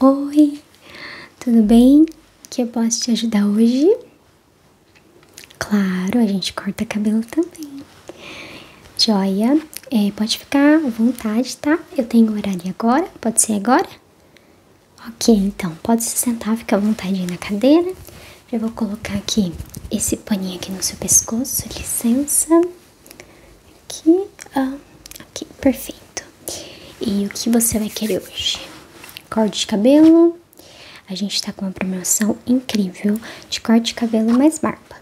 Oi, tudo bem? Que eu posso te ajudar hoje? Claro, a gente corta cabelo também. Joia, é, pode ficar à vontade, tá? Eu tenho horário agora, pode ser agora? Ok, então pode se sentar, fica à vontade na cadeira. Eu vou colocar aqui esse paninho aqui no seu pescoço, licença. Aqui, perfeito. E o que você vai querer hoje? Corte de cabelo. A gente tá com uma promoção incrível de corte de cabelo mais barba.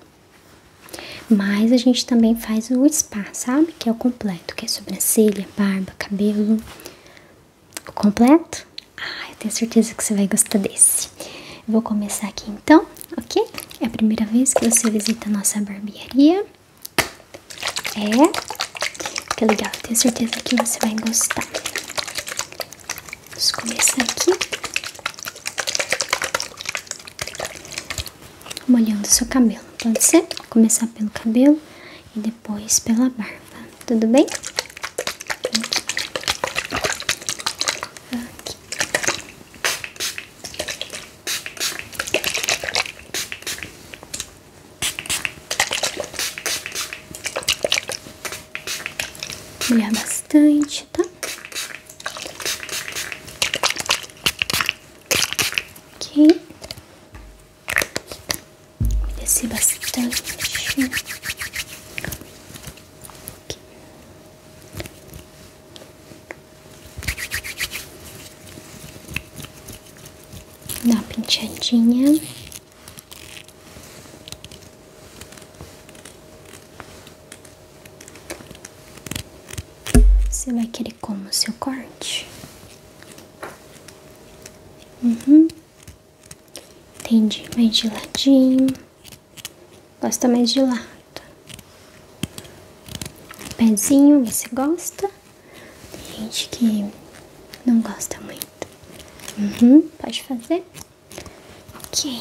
Mas a gente também faz o spa, sabe? Que é o completo, que é sobrancelha, barba, cabelo. O completo? Ah, eu tenho certeza que você vai gostar desse. vou começar aqui então ok? É a primeira vez que você visita nossa barbearia. É, que legal, tenho certeza que você vai gostar. Vamos começar aqui. Molhando seu cabelo, pode ser? começar pelo cabelo e depois pela barba, tudo bem? Aqui. Aqui. Molhar bastante, tá? Ok. Descer bastante. Dá uma penteadinha. Você vai querer como o seu corte? Uhum. Entendi. Mais de ladinho. Gosta mais de lá certo? Pezinho, você gosta? gente que não gosta muito. Uhum, pode fazer? Ok.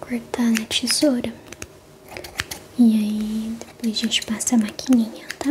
cortar na tesoura. E aí, depois a gente passa a maquininha, tá?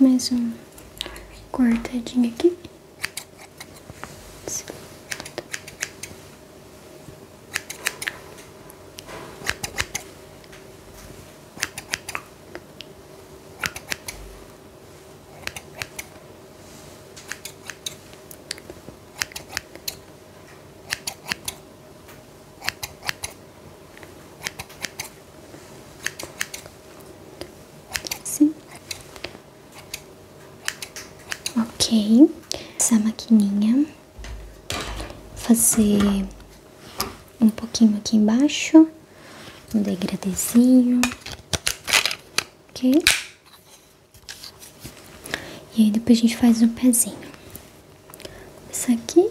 mais um cortadinho aqui. Assim. Ok, essa maquininha fazer um pouquinho aqui embaixo, um degradezinho, ok? E aí depois a gente faz o um pezinho. Isso aqui.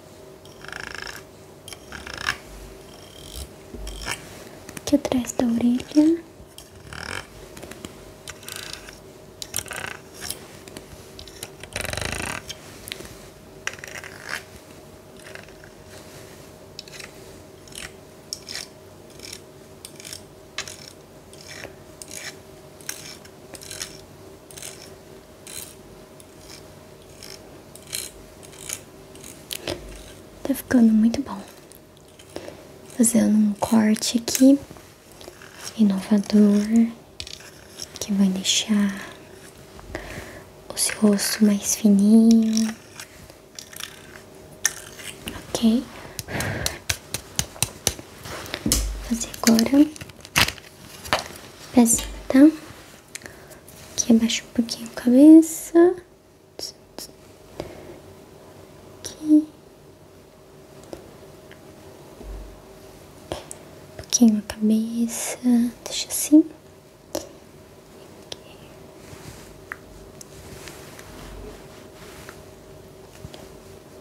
aqui atrás da orelha. Tá ficando muito bom. Fazendo um corte aqui, inovador, que vai deixar o rosto mais fininho. Ok? Vou fazer agora pés tá? Aqui abaixo um pouquinho a cabeça. Aqui. pouquinho a cabeça. Deixa assim.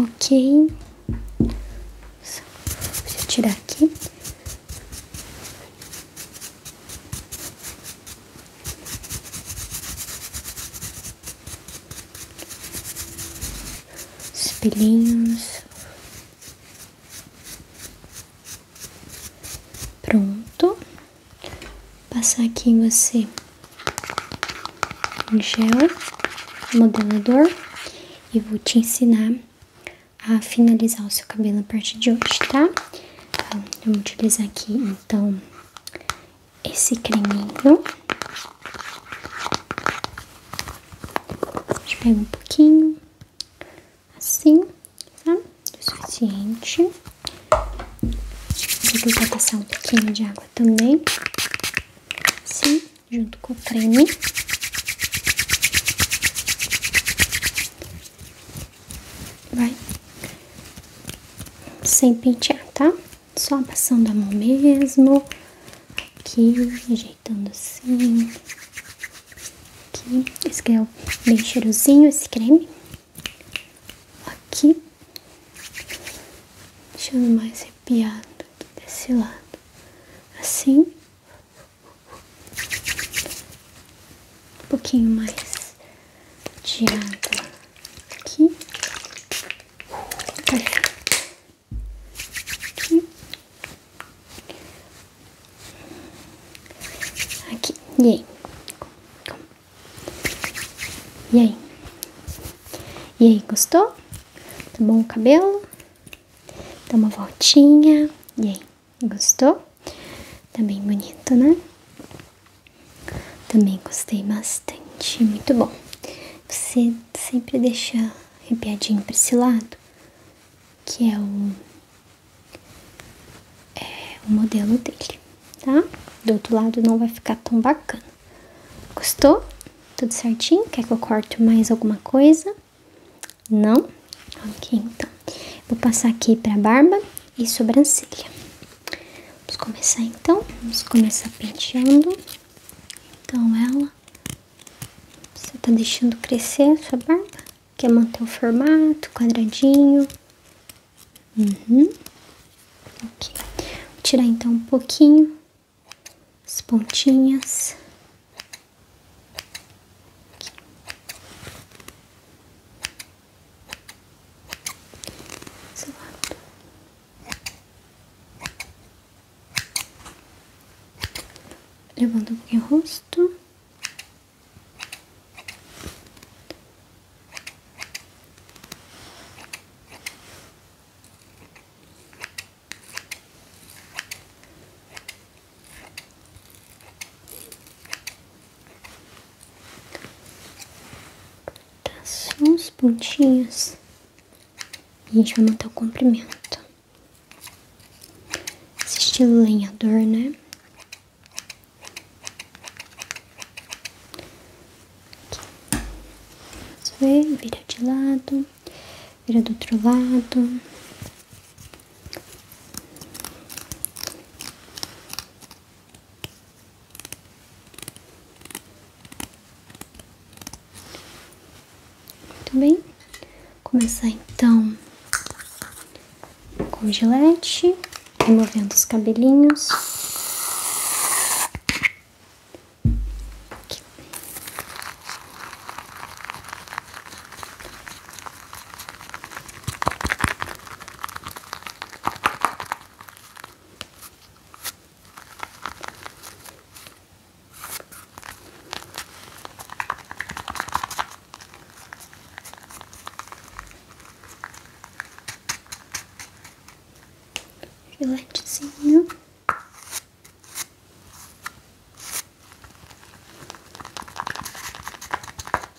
Ok, Só, deixa eu tirar aqui. Os pelinhos. Pronto. Passar aqui em você um gel modelador e vou te ensinar a finalizar o seu cabelo a partir de hoje, tá? Então, eu vou utilizar aqui, então, esse creminho. Deixa eu um pouquinho, assim, tá? O suficiente. Depois vou passar um pouquinho de água também, assim, junto com o creme vai sem pentear, tá? Só passando a mão mesmo, aqui, ajeitando assim, aqui. Esse aqui é bem cheirosinho, esse creme. Aqui, deixando mais arrepiado desse lado, assim. Um pouquinho mais de aqui. Aqui. Aqui. E aí? E aí? E aí, gostou? Tá bom o cabelo? Dá uma voltinha. E aí? Gostou? também tá bonito, né? Também gostei bastante, muito bom. Você sempre deixa arrepiadinho para esse lado, que é o, é o modelo dele, tá? Do outro lado não vai ficar tão bacana. Gostou? Tudo certinho? Quer que eu corte mais alguma coisa? Não? Ok, então. Vou passar aqui pra barba e sobrancelha. Vamos começar então. Vamos começar penteando. Então ela. Você tá deixando crescer a sua barba? Quer manter o formato, quadradinho? Uhum. Ok. Vou tirar então um pouquinho as pontinhas. Seu lado. Levanta um pouquinho o rosto. Passo uns pontinhos. A gente vai montar o comprimento. estilo lenhador, né? Aqui. vira de lado, vira do outro lado. Muito bem. começar então com gilete, removendo os cabelinhos. Filetezinho.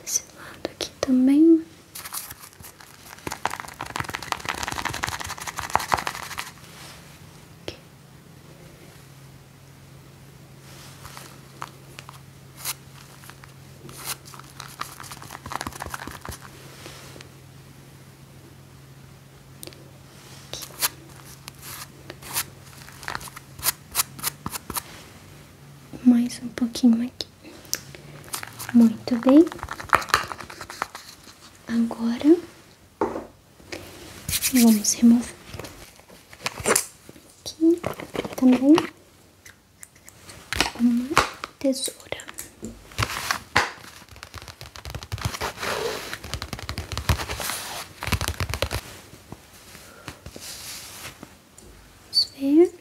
desse lado aqui também. Mais um pouquinho aqui. Muito bem. Agora vamos remover aqui também uma tesoura. Vamos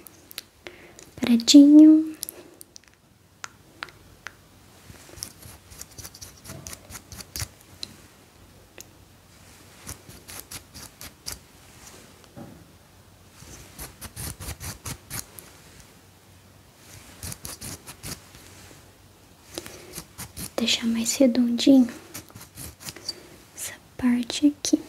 paradinho. Deixar mais redondinho essa parte aqui.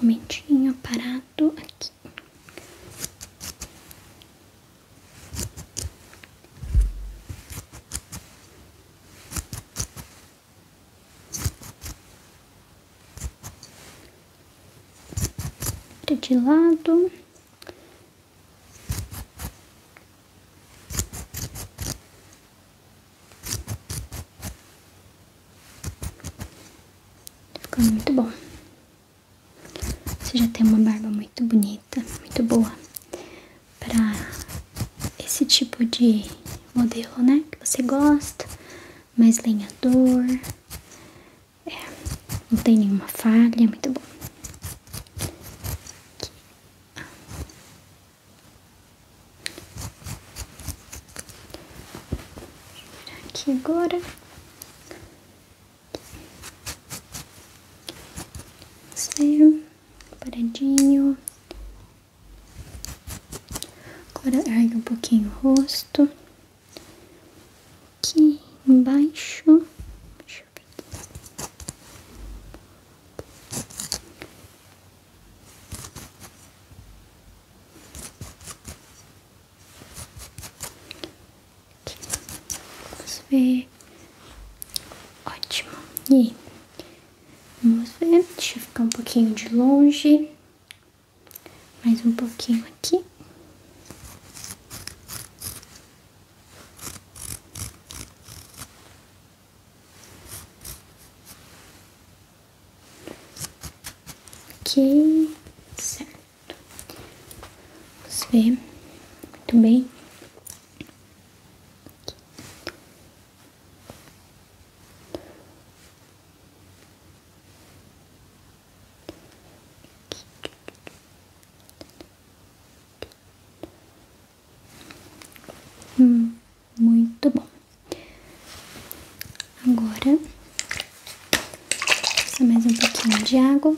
Momentinho parado aqui. Tá de lado. Tá Ficou muito bom. Você já tem uma barba muito bonita, muito boa para esse tipo de modelo, né? Que você gosta, mais lenhador, é, não tem nenhuma falha, é muito bom. Aqui, aqui agora. Você, paradinho. Agora ergue um pouquinho o rosto. Aqui embaixo. Aqui. Vamos ver. Ótimo. E vamos ver. Deixa eu ficar um pouquinho de longe. Mais um pouquinho aqui. Ok, certo. Vamos ver. Muito bem. Hum, muito bom. Agora, mais um pouquinho de água.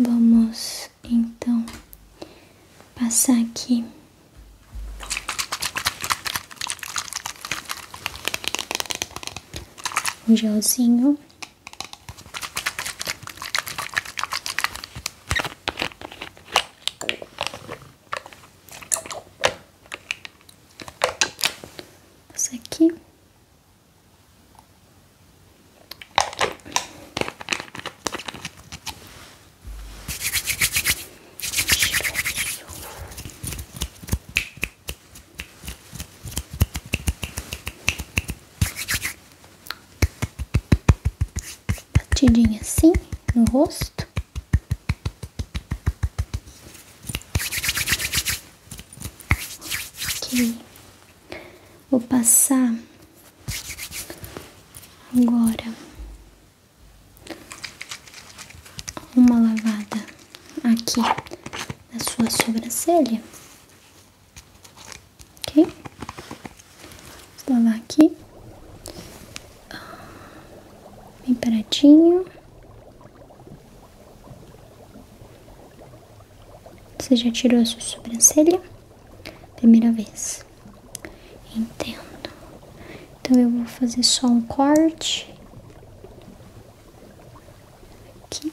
Vamos então passar aqui. o gelzinho Passa aqui. Batidinha assim no rosto. Ok. Vou passar agora uma lavada aqui na sua sobrancelha Ok? Vou lavar aqui. Bem paradinho. Você já tirou a sua sobrancelha? Primeira vez. Entendo. Então eu vou fazer só um corte. Aqui.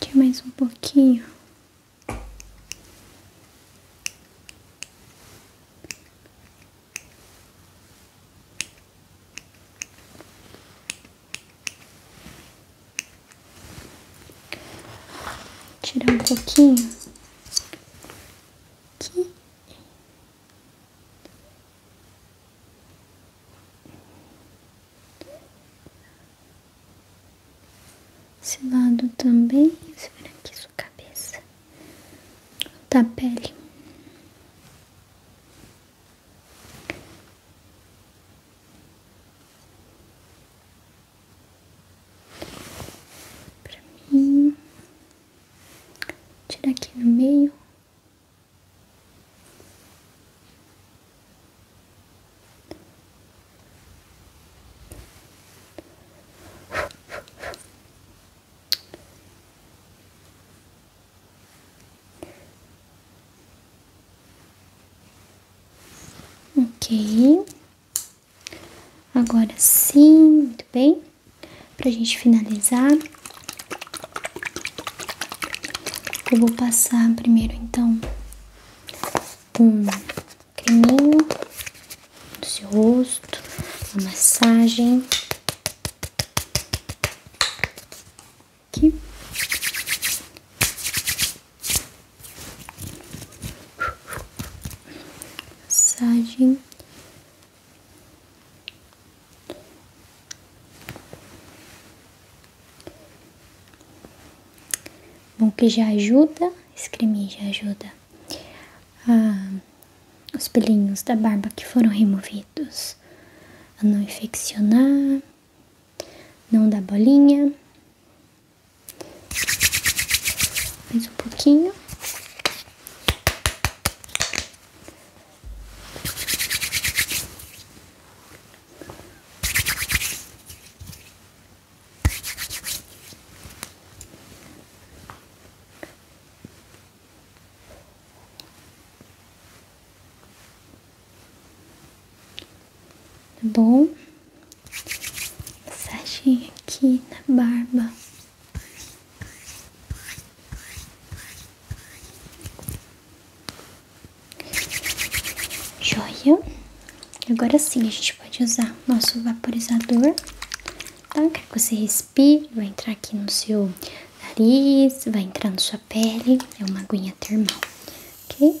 Aqui mais um pouquinho. Tirar um pouquinho. Esse lado também, você vira aqui sua cabeça da pele. Pra mim, tirar aqui no meio. Ok, Agora sim, muito bem. Pra gente finalizar, eu vou passar primeiro então um creminho do seu rosto, uma massagem aqui. Massagem Bom, que já ajuda, esse creme já ajuda ah, os pelinhos da barba que foram removidos a não infeccionar, não dar bolinha. Mais um pouquinho. Tá bom? Massaginha aqui na barba. Joia. Agora sim, a gente pode usar nosso vaporizador, tá? Quer que você respire, vai entrar aqui no seu nariz, vai entrar na sua pele. É uma aguinha termal, ok?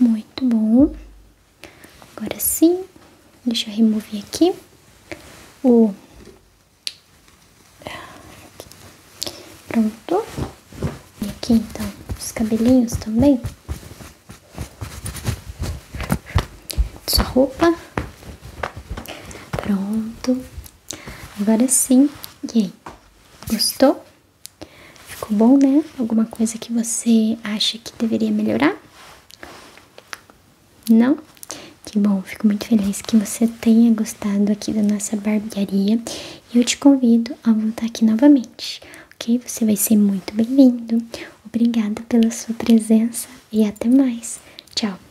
Muito bom. Agora sim, deixa eu remover aqui o... Ah, Pronto. E aqui, então, os cabelinhos também. Sua roupa. Pronto. Agora sim. E aí? Gostou? Ficou bom, né? Alguma coisa que você acha que deveria melhorar? Não? Que bom, fico muito feliz que você tenha gostado aqui da nossa barbearia e eu te convido a voltar aqui novamente, ok? Você vai ser muito bem-vindo. Obrigada pela sua presença e até mais. Tchau!